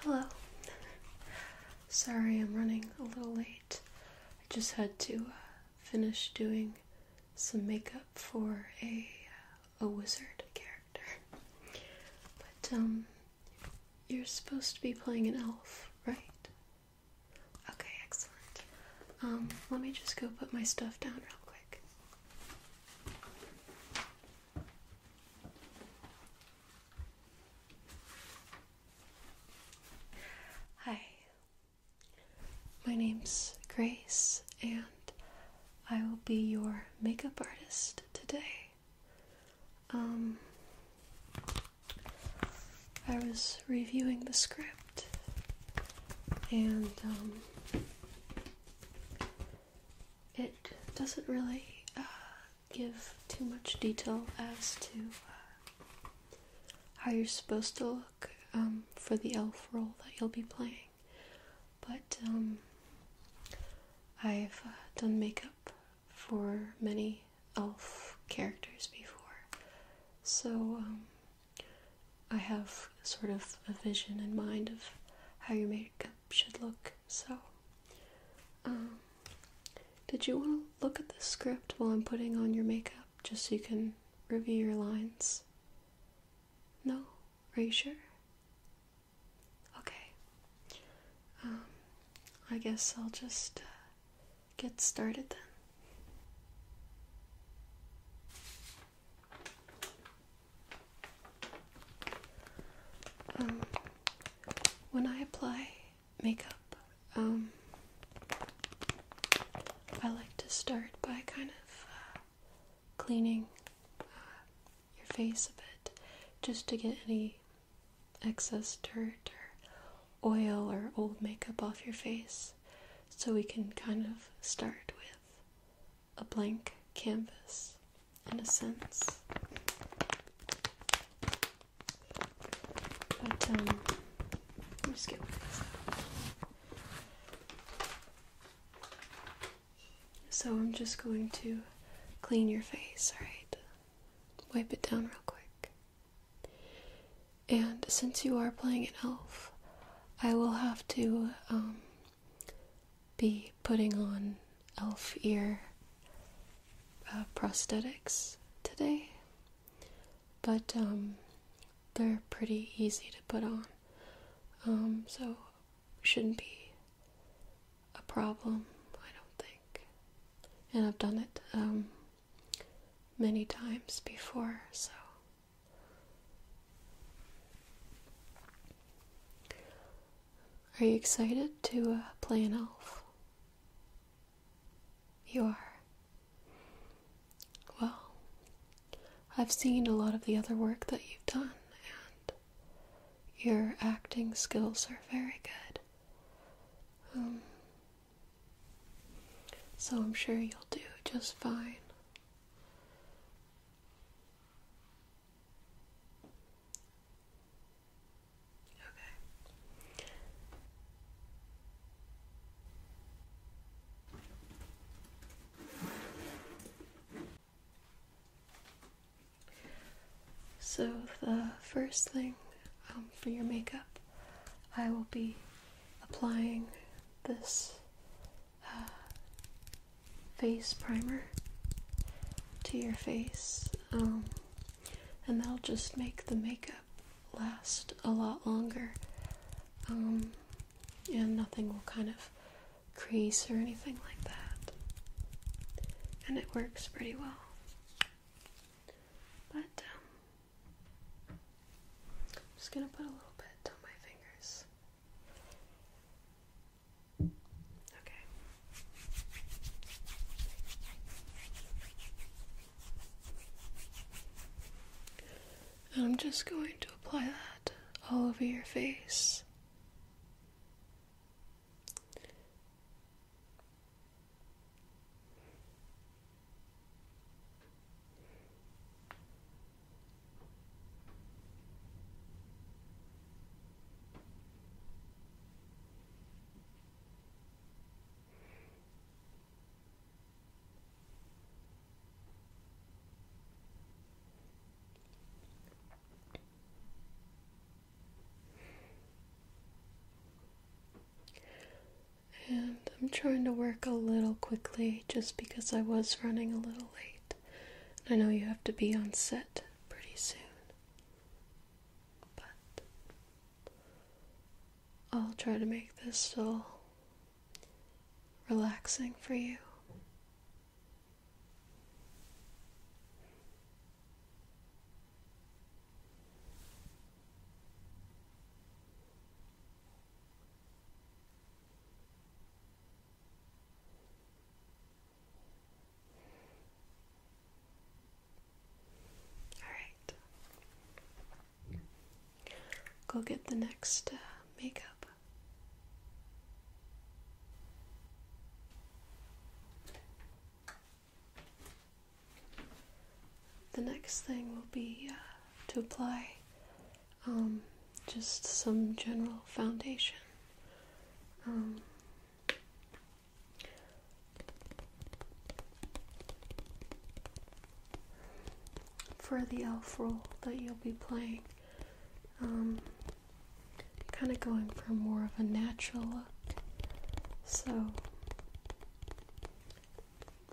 Hello. Sorry I'm running a little late. I just had to uh, finish doing some makeup for a uh, a wizard character. But um, you're supposed to be playing an elf, right? Okay, excellent. Um, let me just go put my stuff down real quick. Hi, my name's Grace, and I will be your makeup artist today. Um, I was reviewing the script, and um, it doesn't really uh, give too much detail as to uh, how you're supposed to look um, for the elf role that you'll be playing. But um, I've uh, done makeup for many elf characters before, so um, I have sort of a vision in mind of how you make should look. So, um, did you want to look at the script while I'm putting on your makeup just so you can review your lines? No? Are you sure? Okay. Um, I guess I'll just uh, get started then. Um, when I apply makeup, um, I like to start by kind of uh, cleaning uh, your face a bit just to get any excess dirt or oil or old makeup off your face so we can kind of start with a blank canvas, in a sense. Um, so I'm just going to clean your face, alright? Wipe it down real quick. And since you are playing an elf, I will have to um, be putting on elf ear uh, prosthetics today, but um, they're pretty easy to put on, um, so shouldn't be a problem, I don't think. And I've done it um, many times before, so. Are you excited to uh, play an elf? You are. Well, I've seen a lot of the other work that you've done, and your acting skills are very good. Um, so I'm sure you'll do just fine. Okay. So, the first thing um, for your makeup, I will be applying this uh, face primer to your face, um, and that'll just make the makeup last a lot longer, um, and nothing will kind of crease or anything like that. And it works pretty well. But I'm um, just gonna put a little bit on my fingers. Okay. And I'm just going to apply that all over your face. And I'm trying to work a little quickly just because I was running a little late. I know you have to be on set pretty soon. But I'll try to make this still relaxing for you. Alright. Go get the next uh, makeup. The next thing will be uh, to apply um, just some general foundation. Um, for the elf role that you'll be playing, um, kind of going for more of a natural look. So,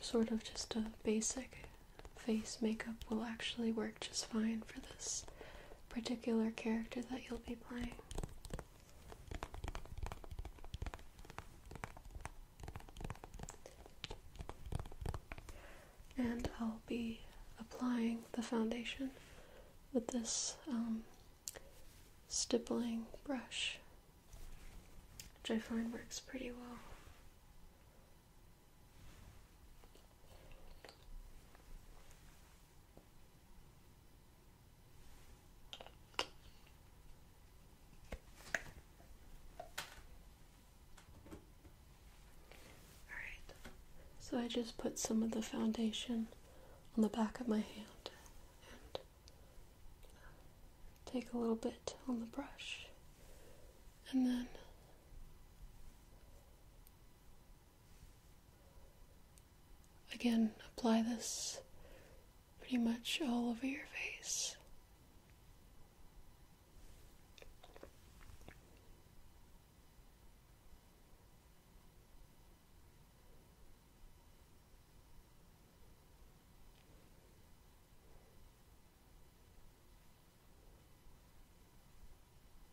sort of just a basic face makeup will actually work just fine for this particular character that you'll be playing. And I'll be applying the foundation with this um, stippling brush, which I find works pretty well. Alright, so I just put some of the foundation on the back of my hand and take a little bit on the brush and then Again, apply this pretty much all over your face.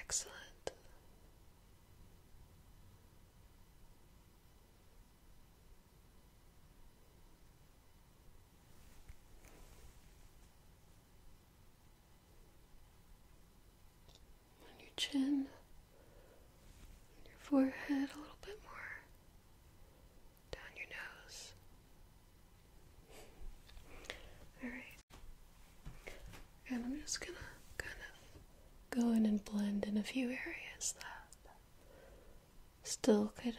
Excellent. On your chin, your forehead, a little bit more down your nose. Alright. And I'm just gonna kind of go in and blend in a few areas that still could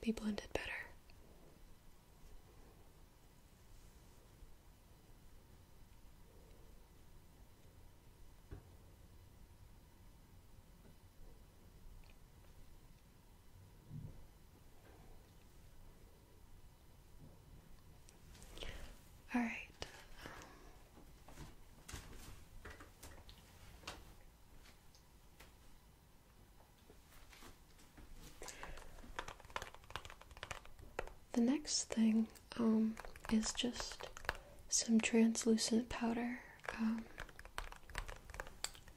be blended better. All right. The next thing um, is just some translucent powder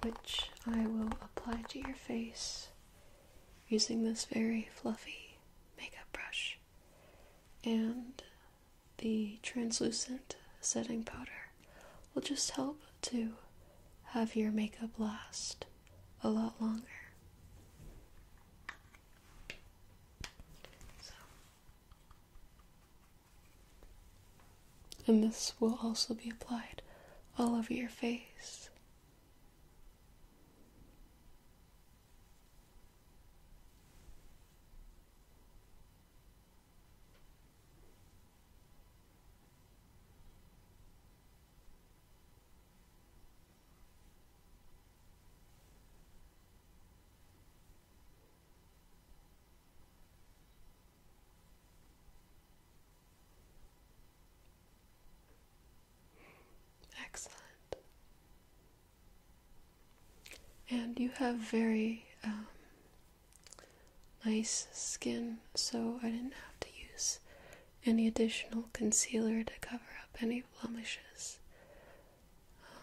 which I will apply to your face using this very fluffy makeup brush and the translucent setting powder will just help to have your makeup last a lot longer. And this will also be applied all over your face. Excellent. And you have very um, nice skin, so I didn't have to use any additional concealer to cover up any blemishes. Um,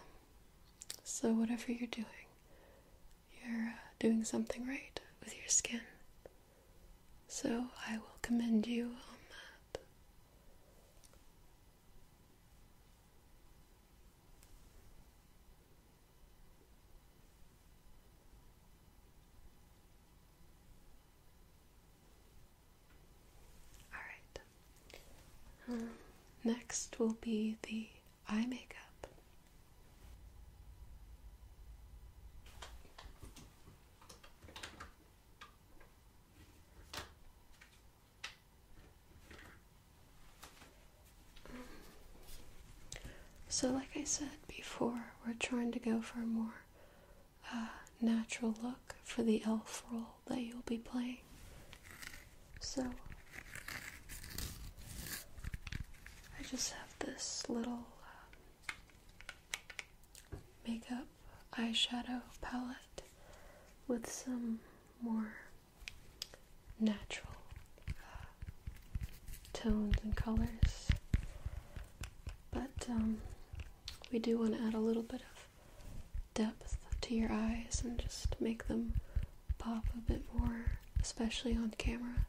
so, whatever you're doing, you're uh, doing something right with your skin. So I will commend you on that. All right. Um, next will be the eye makeup. So, like I said before, we're trying to go for a more uh, natural look for the elf role that you'll be playing. So I just have this little uh, makeup eyeshadow palette with some more natural uh, tones and colors. But um, we do want to add a little bit of depth to your eyes and just make them pop a bit more, especially on camera.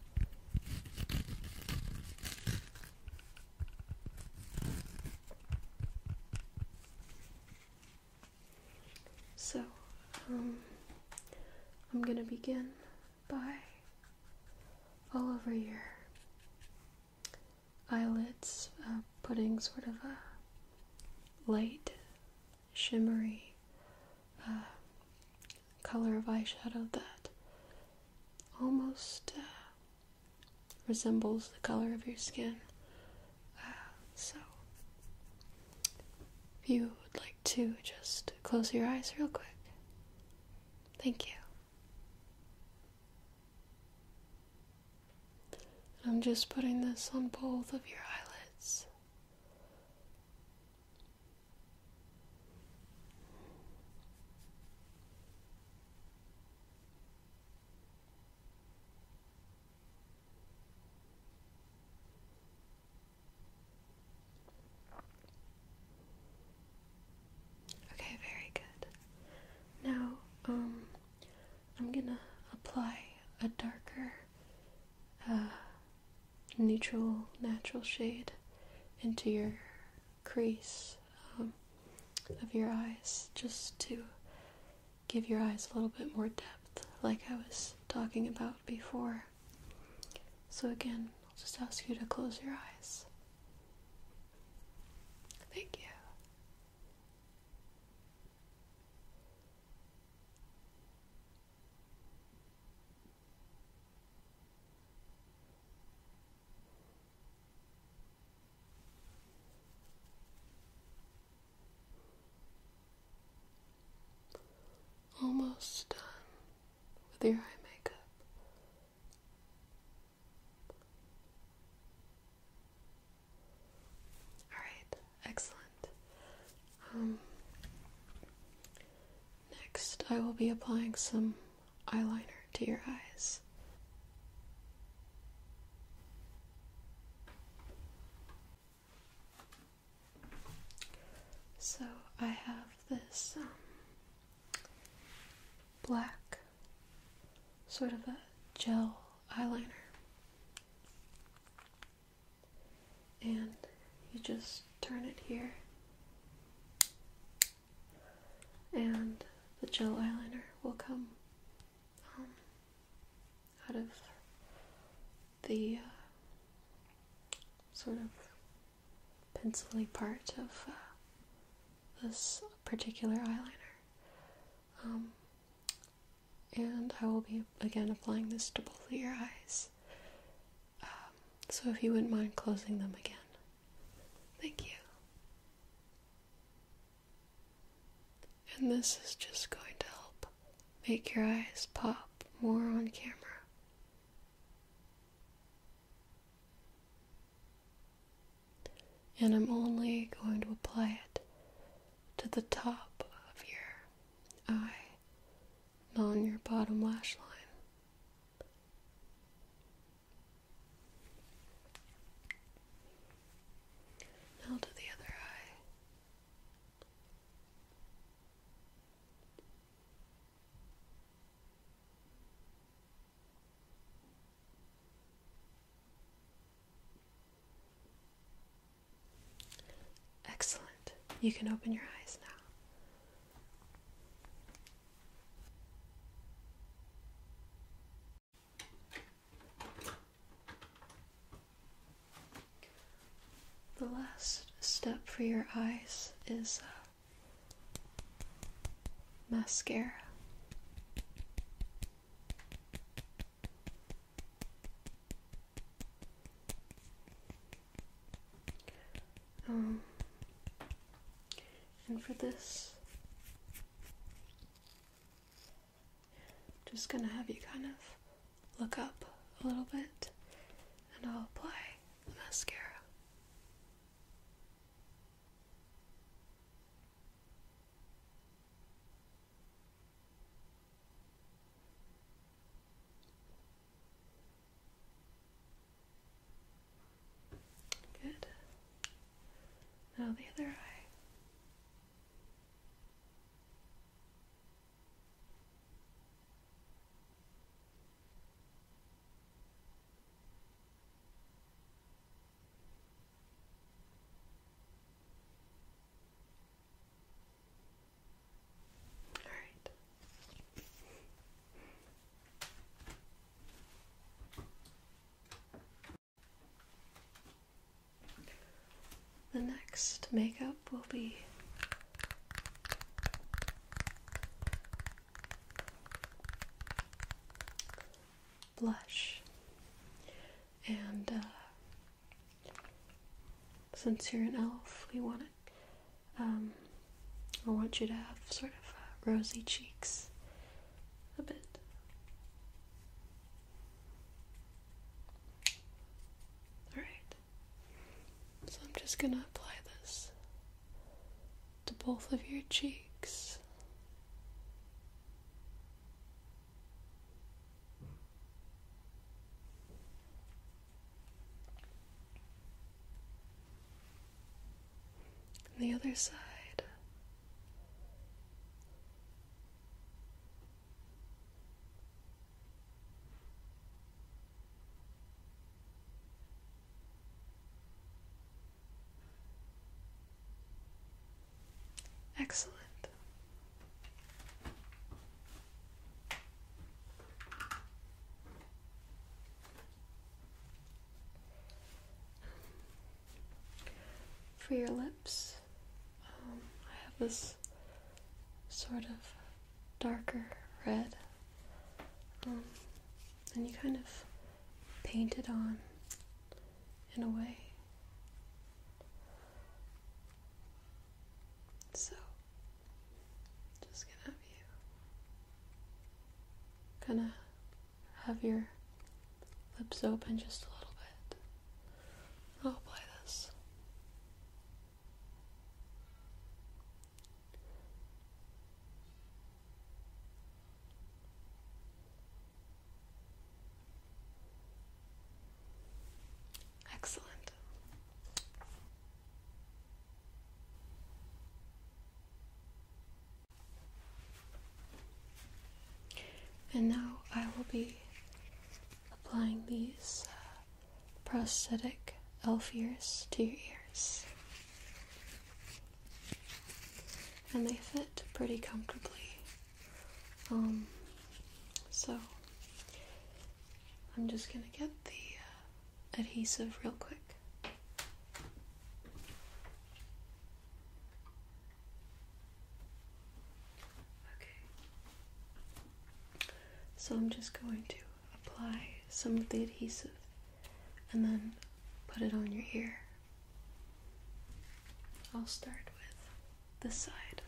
So, um, I'm gonna begin by all over your eyelids, uh, putting sort of a light shimmery uh, color of eyeshadow that almost uh, resembles the color of your skin. Uh, so, if you would like to, just close your eyes real quick. Thank you. I'm just putting this on both of your eyelids. Okay, very good. Now, um, I'm gonna apply a darker uh, neutral, natural shade into your crease um, of your eyes just to give your eyes a little bit more depth, like I was talking about before. So, again, I'll just ask you to close your eyes. Thank you. Almost done with your eye makeup. All right, excellent. Um, next, I will be applying some eyeliner to your eyes. So I have this um, black sort of a gel eyeliner and you just turn it here, and the gel eyeliner will come um, out of the uh, sort of pencily part of uh, this particular eyeliner. Um, and I will be again applying this to both of your eyes. Um, so if you wouldn't mind closing them again. Thank you. And this is just going to help make your eyes pop more on camera. And I'm only going to apply it to the top of your eye on your bottom lash line. Now to the other eye. Excellent. You can open your eyes now. The last step for your eyes is mascara. Um, and for this, just gonna have you kind of look up a little bit and I'll apply the mascara. Good. Now the other eye. All right. The next makeup will be blush. And uh, since you're an elf, we want it. Um, I want you to have sort of uh, rosy cheeks a bit. Alright, so I'm just gonna apply this to both of your cheeks. And the other side. Excellent. For your lips, um, I have this sort of darker red, um, and you kind of paint it on in a way. So, just gonna have you kind of have your lips open just a little bit. I'll apply this. Excellent. And now I will be applying these uh, prosthetic elf ears to your ears. And they fit pretty comfortably. Um, so I'm just gonna get the uh, adhesive real quick. Okay. So I'm just going to apply some of the adhesive and then put it on your ear. I'll start with this side.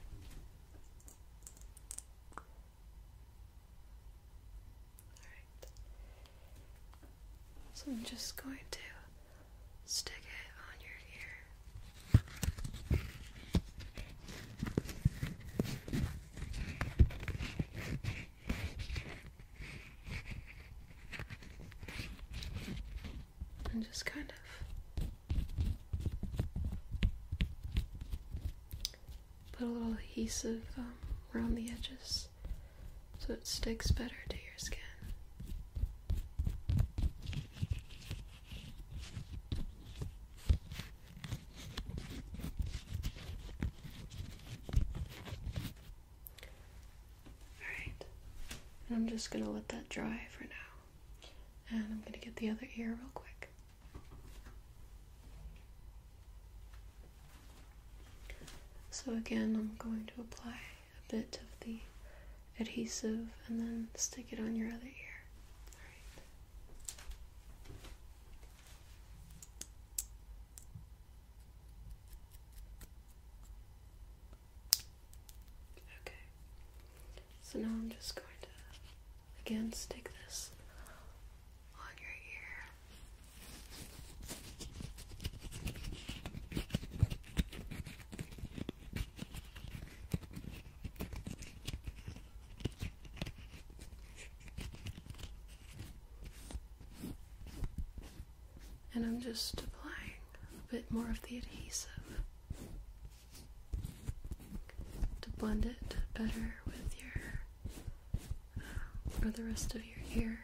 So I'm just going to stick it on your ear. And just kind of put a little adhesive um, around the edges so it sticks better to your skin. Alright, and I'm just gonna let that dry for now. And I'm gonna get the other ear real quick. So again, I'm going to apply a bit of the adhesive and then stick it on your other ear. So now I'm just going to again stick this and I'm just applying a bit more of the adhesive to blend it better with your for the rest of your ear.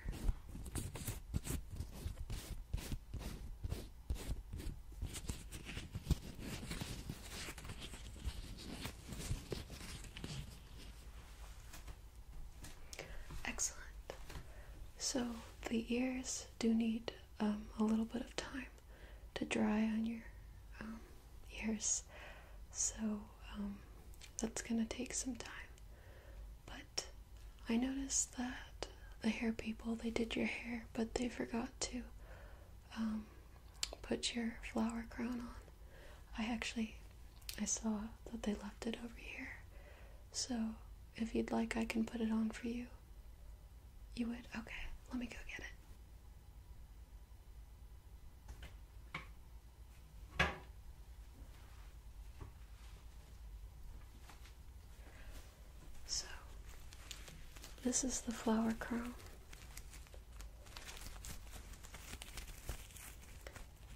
Excellent. So the ears do need um, a little bit of time to dry on your um, ears, so um, that's going to take some time. But I noticed that the hair people, they did your hair, but they forgot to um, put your flower crown on. I actually, I saw that they left it over here. So if you'd like, I can put it on for you. You would? Okay, let me go get it. So, this is the flower crown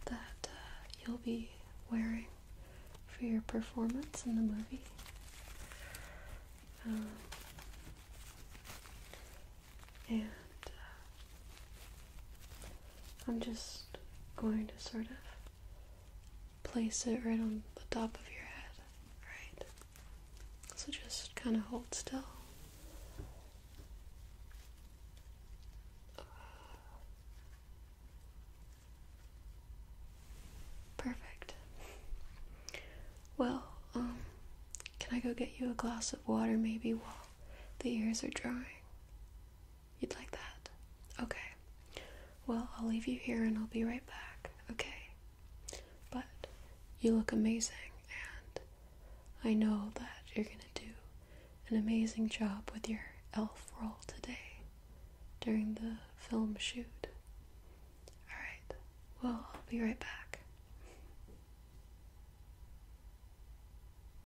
that uh, you'll be wearing for your performance in the movie. Um, and uh, I'm just going to sort of place it right on the top of your head, right? So just kind of hold still. Perfect. Well, um, can I go get you a glass of water maybe while the ears are drying? You'd like that? Okay. Well, I'll leave you here and I'll be right back, okay? But you look amazing, and I know that you're gonna do an amazing job with your elf role today during the film shoot. Alright, well, I'll be right back.